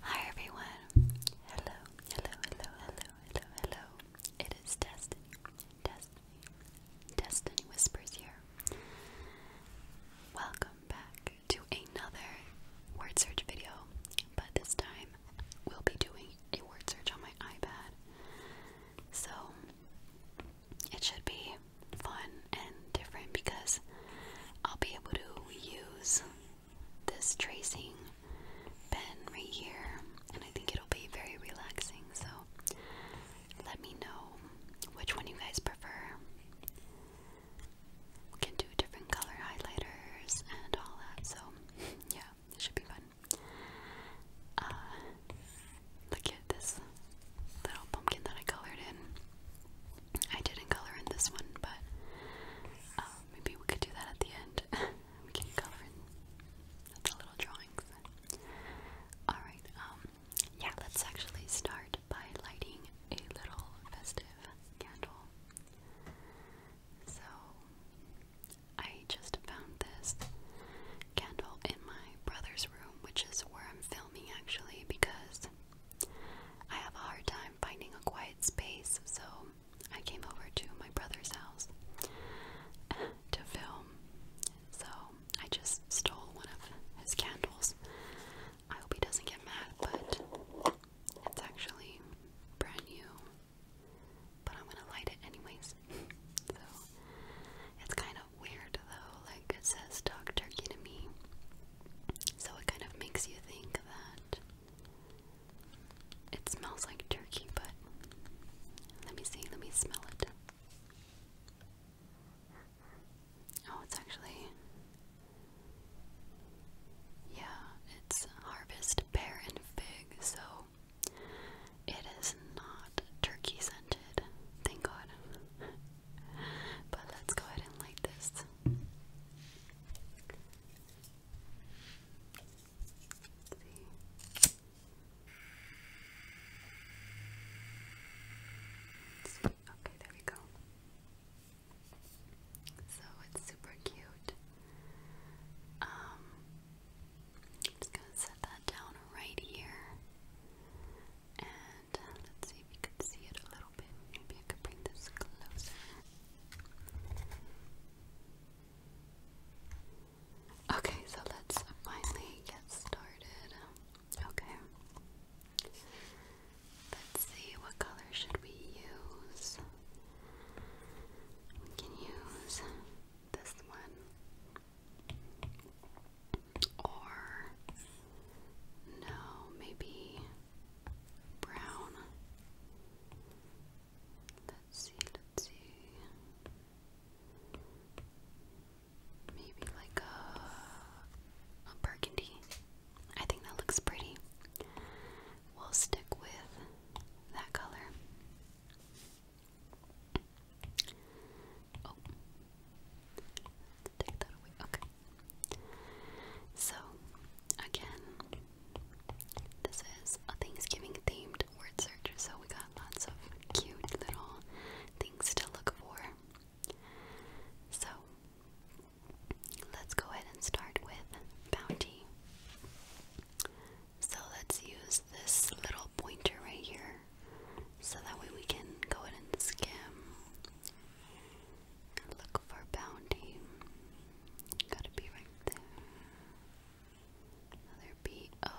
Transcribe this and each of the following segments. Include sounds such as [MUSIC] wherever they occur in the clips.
Hi everyone. Hello, hello, hello, hello, hello, hello. It is Destiny. Destiny. Destiny Whispers here. Welcome back to another word search video, but this time we'll be doing a word search on my iPad. So it should be fun and different because I'll be able to use this tracing pen right here, and I think it'll be very relaxing. So let me know which one you guys prefer. can do different color highlighters and all that. So [LAUGHS] yeah, it should be fun. Uh, look at this little pumpkin that I colored in. I didn't color in this one, but um, maybe we could do that at the end. [LAUGHS] we can color in the little drawings. Alright, um, yeah, let's actually start by lighting a little festive candle. So, I just found this candle in my brother's room, which is where I'm filming actually, because I have a hard time finding a quiet space, so I came over to my brother's house [LAUGHS] to film. So I just stole one of his candles. I hope he doesn't get mad, but it's actually brand new. But I'm gonna light it anyways. [LAUGHS] so it's kind of weird though, like it says duck turkey to me. So it kind of makes you think that it smells like turkey, but let me see, let me smell it. Oh, it's actually. Yeah, it's harvest pear and fig, so it is not turkey scented. Thank God. [LAUGHS] but let's go ahead and light this. Let's see. Let's see. Okay, there we go. So it's super cute. Um, I'm just gonna set that down right here. And uh, let's see if you could see it a little bit. Maybe I could bring this closer. Okay, so let's finally get started. Okay. Let's see, what color should we use? We can use this one. Or no, maybe brown. Let's see, let's see. Maybe like a, a burgundy. I think that looks pretty. We'll stick with that color. Oh, Okay. So, again, this is a Thanksgiving themed word search, so we got lots of cute little things to look for. So, let's go ahead and start with bounty. So, let's use this little pointer right here so that way we can go ahead and skim Look for bounty. Gotta be right there. Another B O.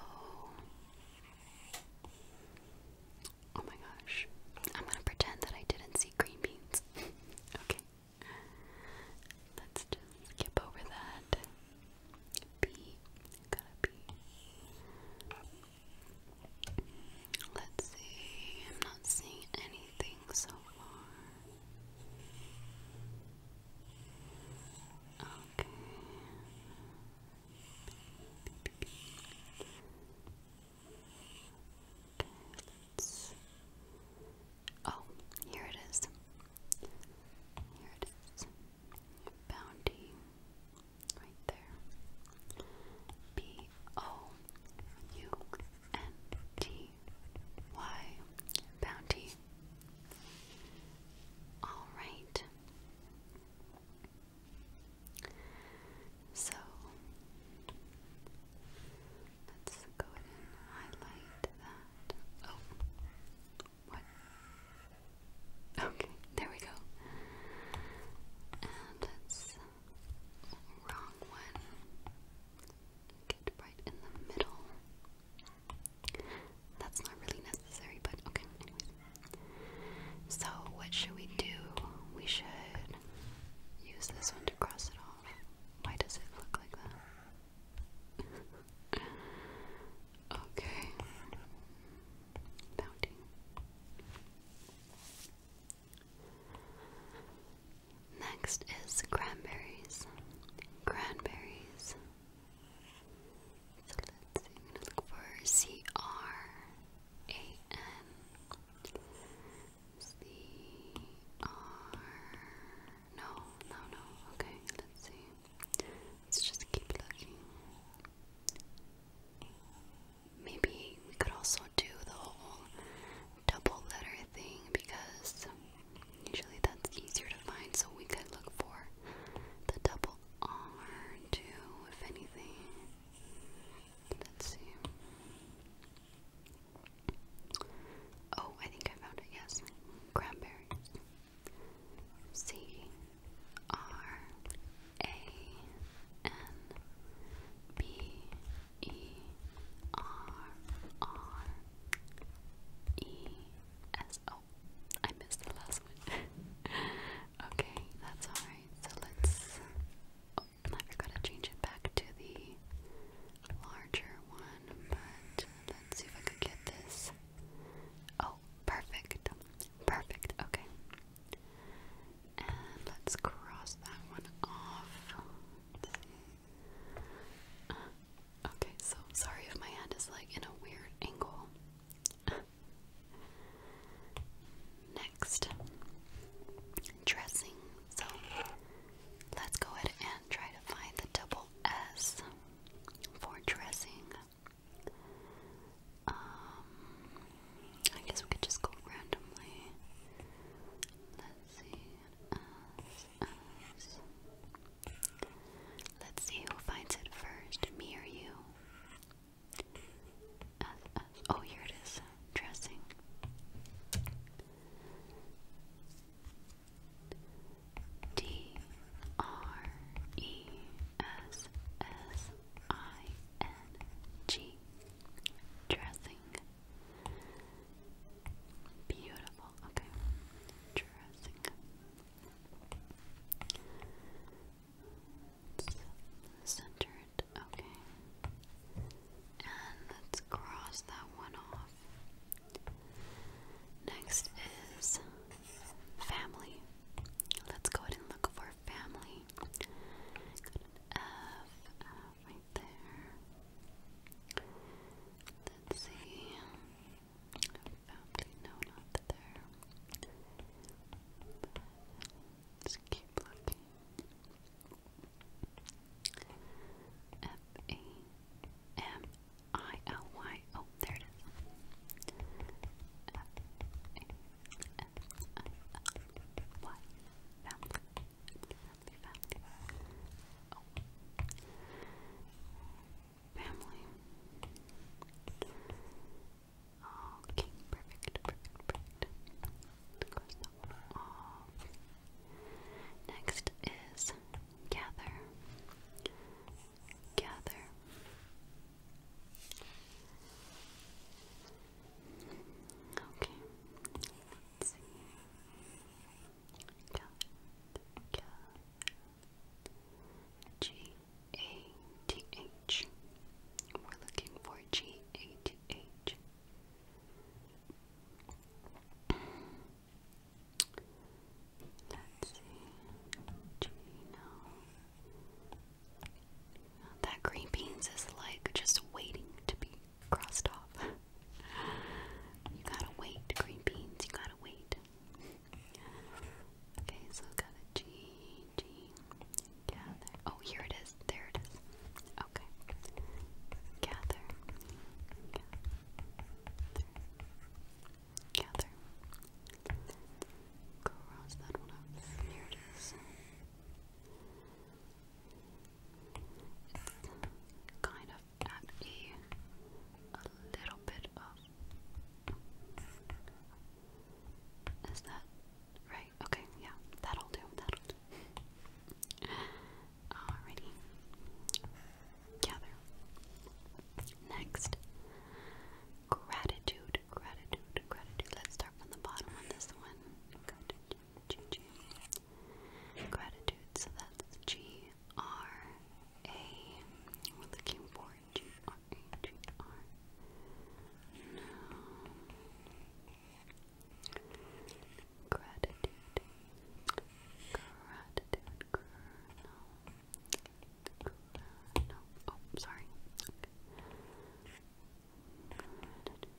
Oh my gosh. I'm gonna pretend that I didn't see green beans. [LAUGHS] okay. Let's just skip over that. B. Gotta be. Let's see, I'm not seeing anything so far. Okay. Okay, Oh, here it is. Here it is. Bounty. Right there. B O U N T Y Bounty. All right. So let's go ahead and highlight that. Oh, what? Okay, there we go. And let Wrong one. Get right in the middle. That's not really necessary, but okay, anyways. So, what should we do? We should use this one to cross it off. Why does it look like that? [LAUGHS] okay. Bounty. Next is cranberries. Cranberries. So let's see, I'm look for C R A N C R No, no, no. Okay, let's see. Let's just keep looking. Maybe we could also do the whole double letter thing because usually that's easier to find, so we could look for the double R too, if anything. Let's see. Oh, I think I found it, yes. Cranberry. C R A N B E R R E S. missed the last one. [LAUGHS] okay, that's alright. So let's. Oh, I forgot to change it back to the larger one, but let's see if I could get this. Oh, perfect. Perfect. Okay let's cross that one off. Uh, okay, so sorry if my hand is like in a weird angle. Next, dressing. So let's go ahead and try to find the double S for dressing. Um, I guess we could just go randomly. Let's see who finds it first, me or you. Oh, here it is. Dressing. D R E S S I N G. Dressing. Beautiful. Okay. Dressing up. Okay. And let's cross that one off. Next is family. Let's go ahead and look for family. Got right there. Let's see. no, not there. But let looking. F A M I L Y. Oh, there it is. F A M I L Y. family family, oh. family. Okay, perfect, perfect, perfect. Next is gather. Gather. Okay. Cat, G A T H. We're looking for G That green beans is like just waiting to be crossed off. you gotta wait, green beans, you gotta wait. Okay, so got a G, G, gather. Oh, here it is, there it is. Okay, gather, gather, gather. Cross that one up, there it is. It's kind of at a, little bit of. Is that right? Okay, yeah, that'll do, that'll do. Alrighty. Gather. Next, gratitude, gratitude, gratitude. Let's start from the bottom on this one. Gratitude. G G gratitude. So that's G R A. We're looking for G R A G R. No. Gratitude. Gratitude. Gr no. Gr no. Oh, sorry. Okay. Gratitude.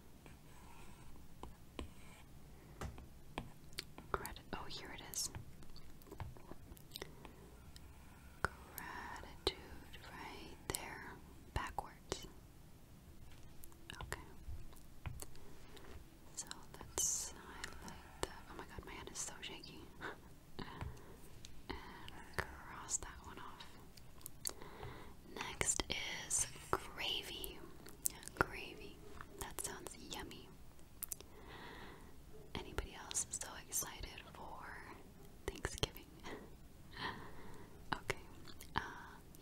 Gratitude. Oh, here it is. Gratitude right there, backwards. Okay. So let Oh my god, my hand is so shaky. [LAUGHS] and cross that one off. Next is gravy. Gravy. That sounds yummy. Anybody else so excited for Thanksgiving? [LAUGHS] okay. Uh,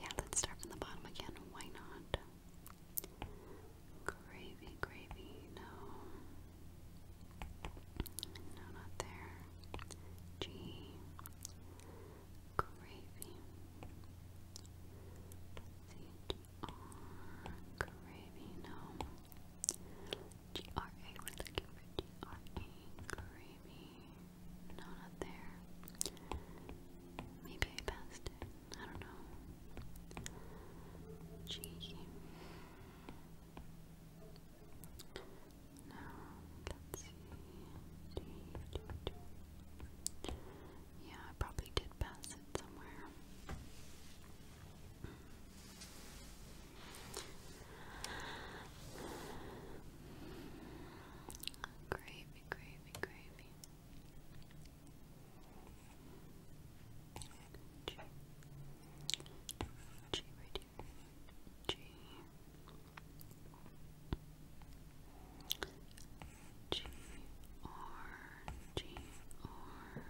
yeah, let's start from the bottom again. Why not? Gravy, gravy. No. No, not there. G gravy. C G R gravy. No. G R A. We're G R A gravy. No, not there. Maybe I passed it. I don't know. G. No, let D, D, yeah, I probably did pass it somewhere. Gravy, gravy, gravy. G. G right here. G. G R G R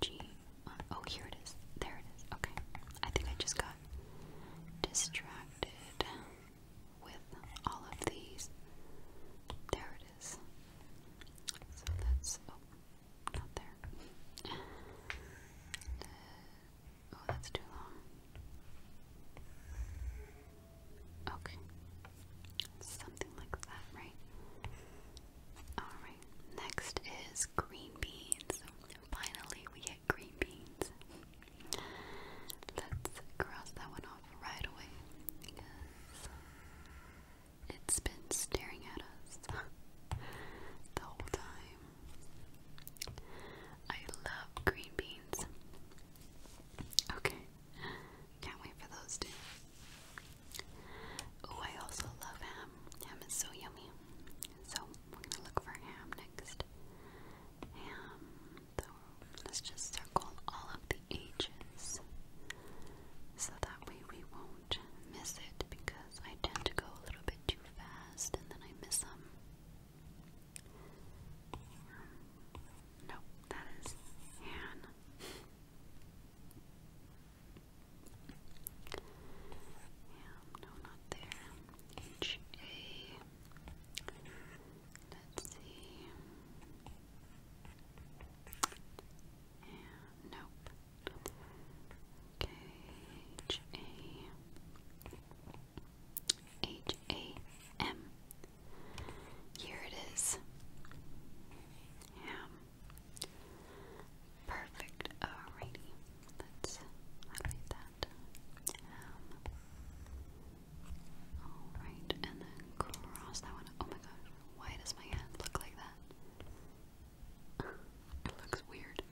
G R. Oh, here it is. There it is. Okay. I think I just got distracted with all of these. There it is. So that's oh, not there. oh, that's too long. Okay. Something like that, right? Alright, next is green beans. Finally, we get green beans. Let's cross that one off right away because it's been staring at us the whole time. I love green beans. Okay. Can't wait for those two. Oh, I also love ham. Ham is so yummy. So we're gonna look for ham next. Ham. let's just circle all of the H's so that way we won't miss it because I tend to go a little bit too fast and then I miss them. Nope, that is Han. Yeah, no, not there. H A. Let's see. And nope. Okay, H A. H A M. Here it is. Ham. Perfect. Alrighty. Let's highlight that. Alright, and then cross that one. Oh my gosh, why does my hand look like that? it looks weird.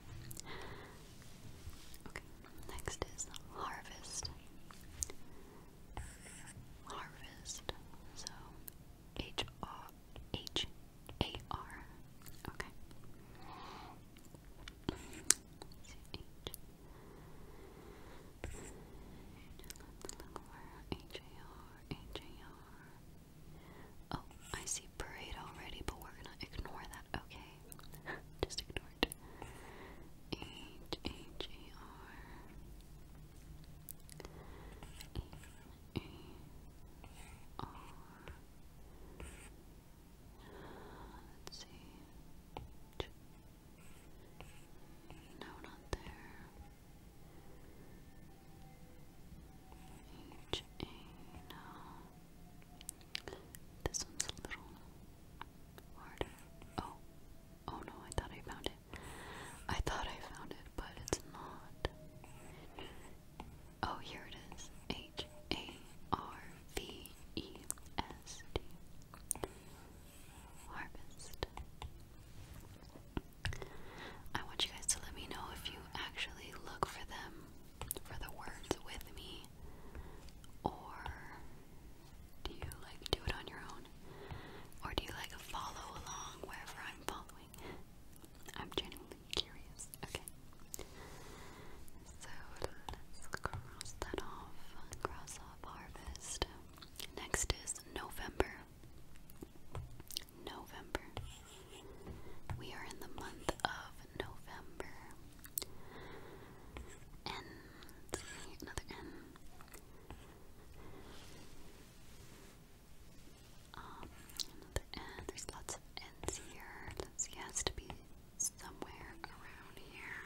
Okay, next is harvest harvest. So H R H A R. Okay. let Oh, I see parade already, but we're gonna ignore that. Okay, [LAUGHS] just ignore Howard. H H A R E A R. Let's see. No, not there. H A. No. This one's a little Harder. Oh. Oh no, I thought I found it. I thought I found it, but it's not. Oh, here it is. H A R V E S T. Harvest. I want you guys to let me know if you actually look for them, for the words with me or do you like do it on your own? Or do you like follow along wherever I'm following? I'm genuinely curious. Okay. So cross that off. Cross off harvest. Next is November. November. We are in the month of November. And Let's see, another N. Um, another N. There's lots of N's here. Let's to be somewhere around here.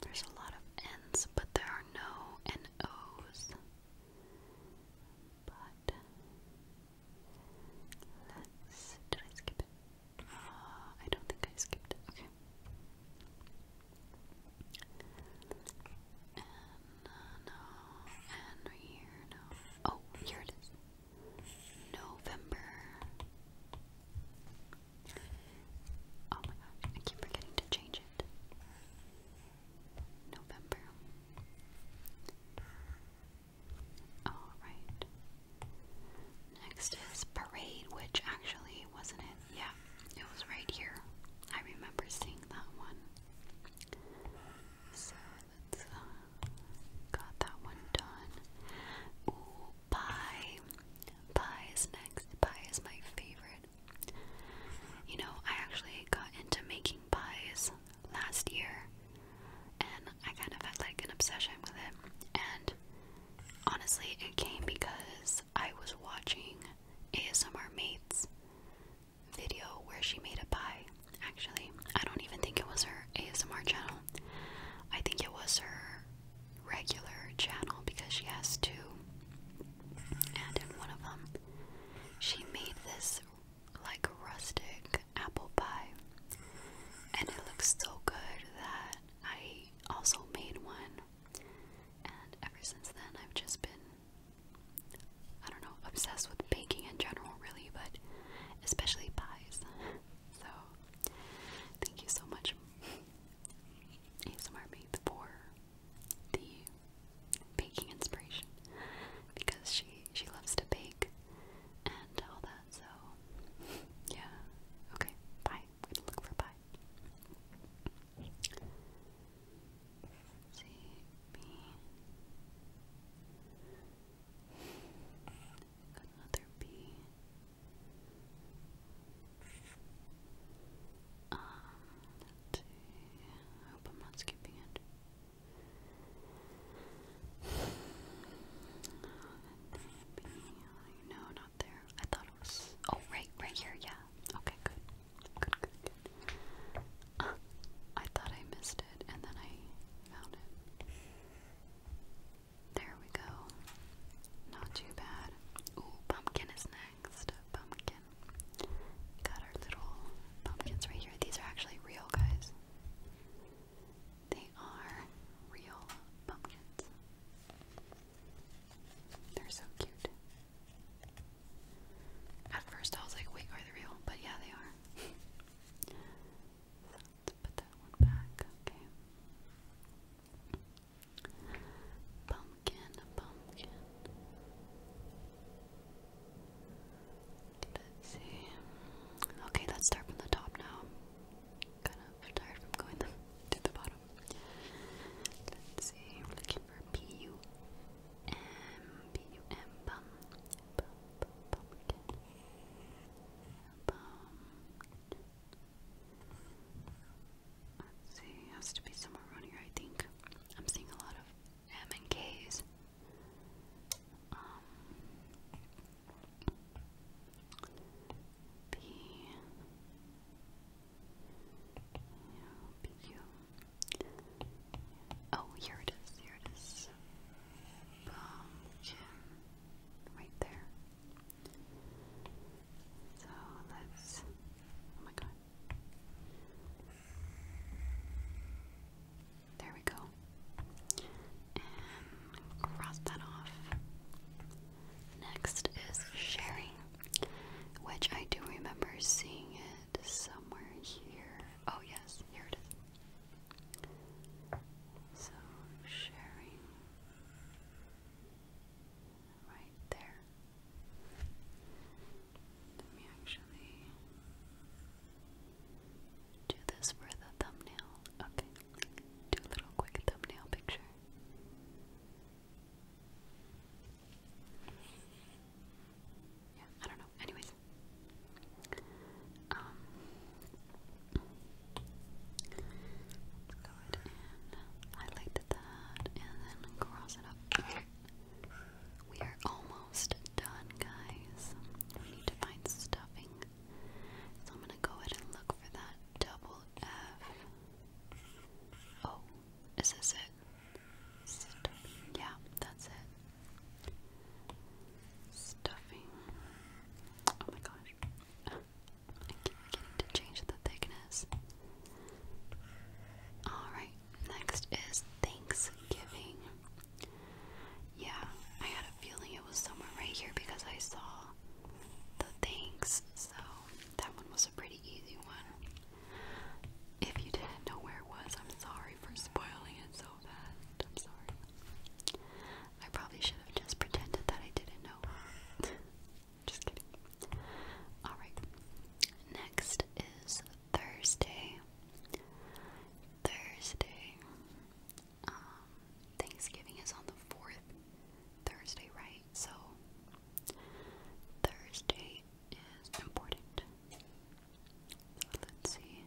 There's a lot of N's, but there are no N O's. But did I skip it? Uh, I don't think I skipped it. Okay. And no, and right here, no. Oh, here it is. November. Oh my gosh, I keep forgetting to change it. November. Alright. Next is Parade, which actually wasn't it. Yeah, it was right here. I remember seeing that one. So let's uh, got that one done. Ooh, pie. Pie is next. Pie is my favorite. You know, I actually got into making pies last year, and I kind of had like an obsession with it. And honestly, it came because I was watching ASMR Mates video where she made a pie. Actually, I don't even think it was her ASMR channel. I think it was her regular channel because she has two. And in one of them, she made this like rustic apple pie. And it looks so good that I also made one. And ever since then, I've just been, I don't know, obsessed with baking in general, really, but especially pies. [LAUGHS] So, thank you so much, ASMR Maid, for the baking inspiration because she she loves to bake and all that, so [LAUGHS] yeah. Okay, pie. We're gonna look for pie. C B another B um, hope I'm not skipping it. No, not there. I thought it was. Oh, right, right here. Yeah. Okay, good. Good, good, good. Uh, I thought I missed it, and then I found it. There we go. Not too bad. Ooh, pumpkin is next. Pumpkin. Got our little pumpkins right here. These are actually real, guys. They are real pumpkins. They're so cute. At first I was like, wait, are they real? But yeah, they are. [LAUGHS] let's put that one back, okay. Pumpkin, pumpkin. Let's see. Okay, let's start from the top now. kind of tired from going [LAUGHS] to the bottom. Let's see. looking for P U M P U M bum Bum. Let's see. Has to be somewhere around here, I think. I'm seeing a lot of M and K's. Um, P, P Q. Oh, here it is. Here it is. Pumpkin, right there. So let's. Oh my god. There we go. cross that off. Next is sharing, which I do remember seeing it somewhere here. Oh, yes, here it is. So, sharing. Right there. Let me actually do this for the thumbnail. Okay. Do a little quick thumbnail picture. Yeah, I don't know. Anyways. Um let's go that and then cross it up. We are almost almost done, guys. We need to find stuffing. So I'm gonna go ahead and look for that double F. Oh, is this it? Stuffing. Yeah, that's it. Stuffing. Oh my gosh. I keep forgetting to change the thickness. Alright, next is Thanksgiving. Yeah, I had a feeling it was somewhere right here because I saw the things, so that one was a pretty easy one. If you didn't know where it was, I'm sorry for spoiling it so fast. I'm sorry. I probably should have just pretended that I didn't know. [LAUGHS] just kidding. Alright. Next is Thursday. Thursday. Um, Thanksgiving is on the fourth Thursday, right? So Thursday is important. let's see.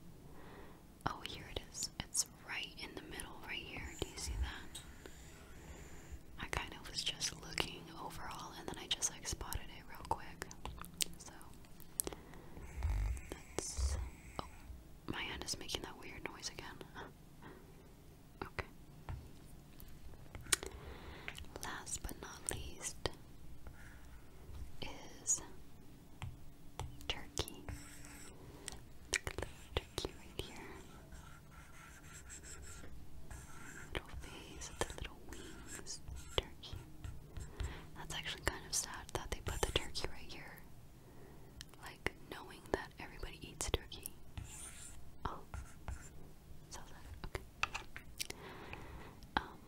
Oh, here it is. It's right in the middle, right here. Do you see that? I kind of was just looking overall and then I just like spotted it real quick. So Oh, my hand is making that weird noise again. [LAUGHS] okay. Last but not least is turkey. Turkey right here. Little face, the little wings, turkey. That's actually kind of sad that they put the turkey right here. Like, knowing that everybody eats turkey. Oh. So that, okay. Um,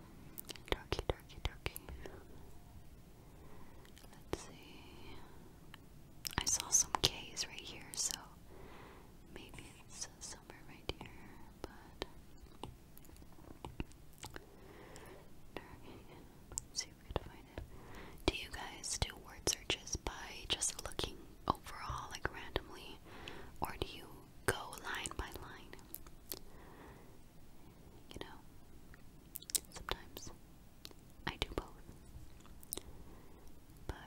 turkey, turkey, turkey. Let's see. I saw some K's right here, so maybe it's somewhere right here, but do you guys do word searches by just looking overall, like randomly, or do you go line by line? You know, sometimes I do both, but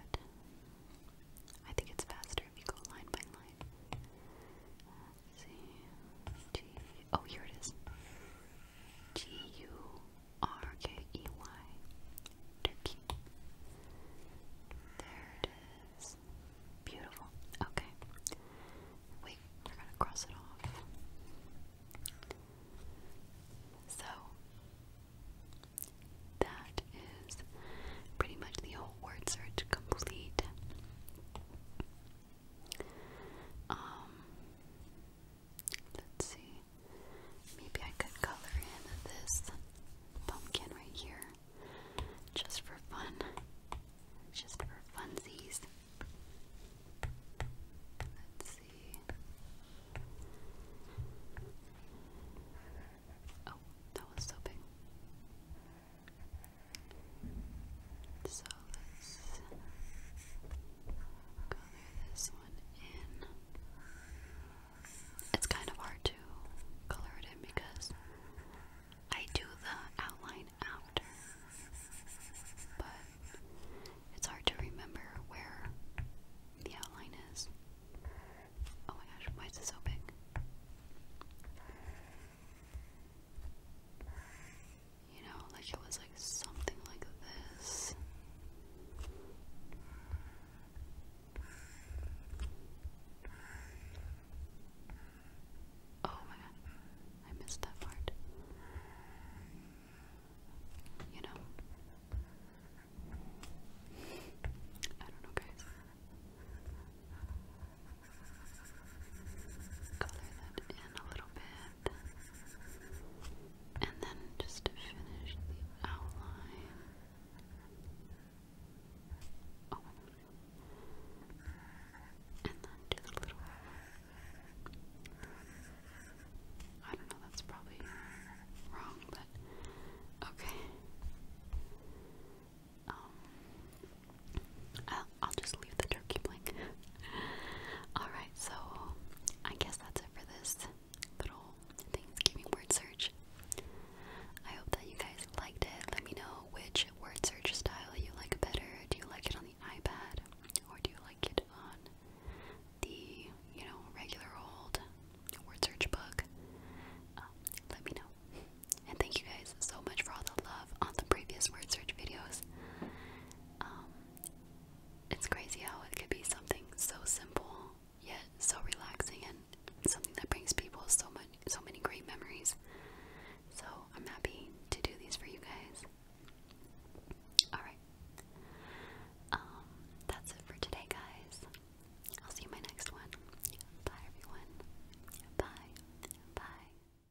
I think it's faster if you go line by line. C G oh here it is. G U R K E Y Turkey. There it is. Beautiful. Okay. we're gonna cross it off. So that is pretty much the whole word search complete. Um, let's see. Maybe I could color in this pumpkin right here, just for fun, just for funsies. Let's see. Oh, that was so big. So let's color this one in. It's kind of hard to color it in because I do the outline after, but it's hard to remember where the outline is. Oh my gosh, why is it so big? You know, like it was like something like this. Oh my god, I missed that part. You know, I don't know, guys color that in a little bit, and then just to finish the outline. Oh. And then do the little I don't know, that's probably wrong, but okay. Um I'll just leave the turkey blank. [LAUGHS] Alright, so I guess that's it for this little Thanksgiving word search. I hope that you guys liked it. Let me know which word search style you like better. Do you like it on the iPad? Or do you like it on the, you know, regular old word search book? Um, let me know. And thank you guys so much for all the love on the previous word search videos. Um, it's crazy how it could be something so simple yet so relaxing and something that brings people so much so many great memories. So I'm happy to do these for you guys. Alright. Um, that's it for today guys. I'll see you my next one. Bye everyone. Bye. Bye.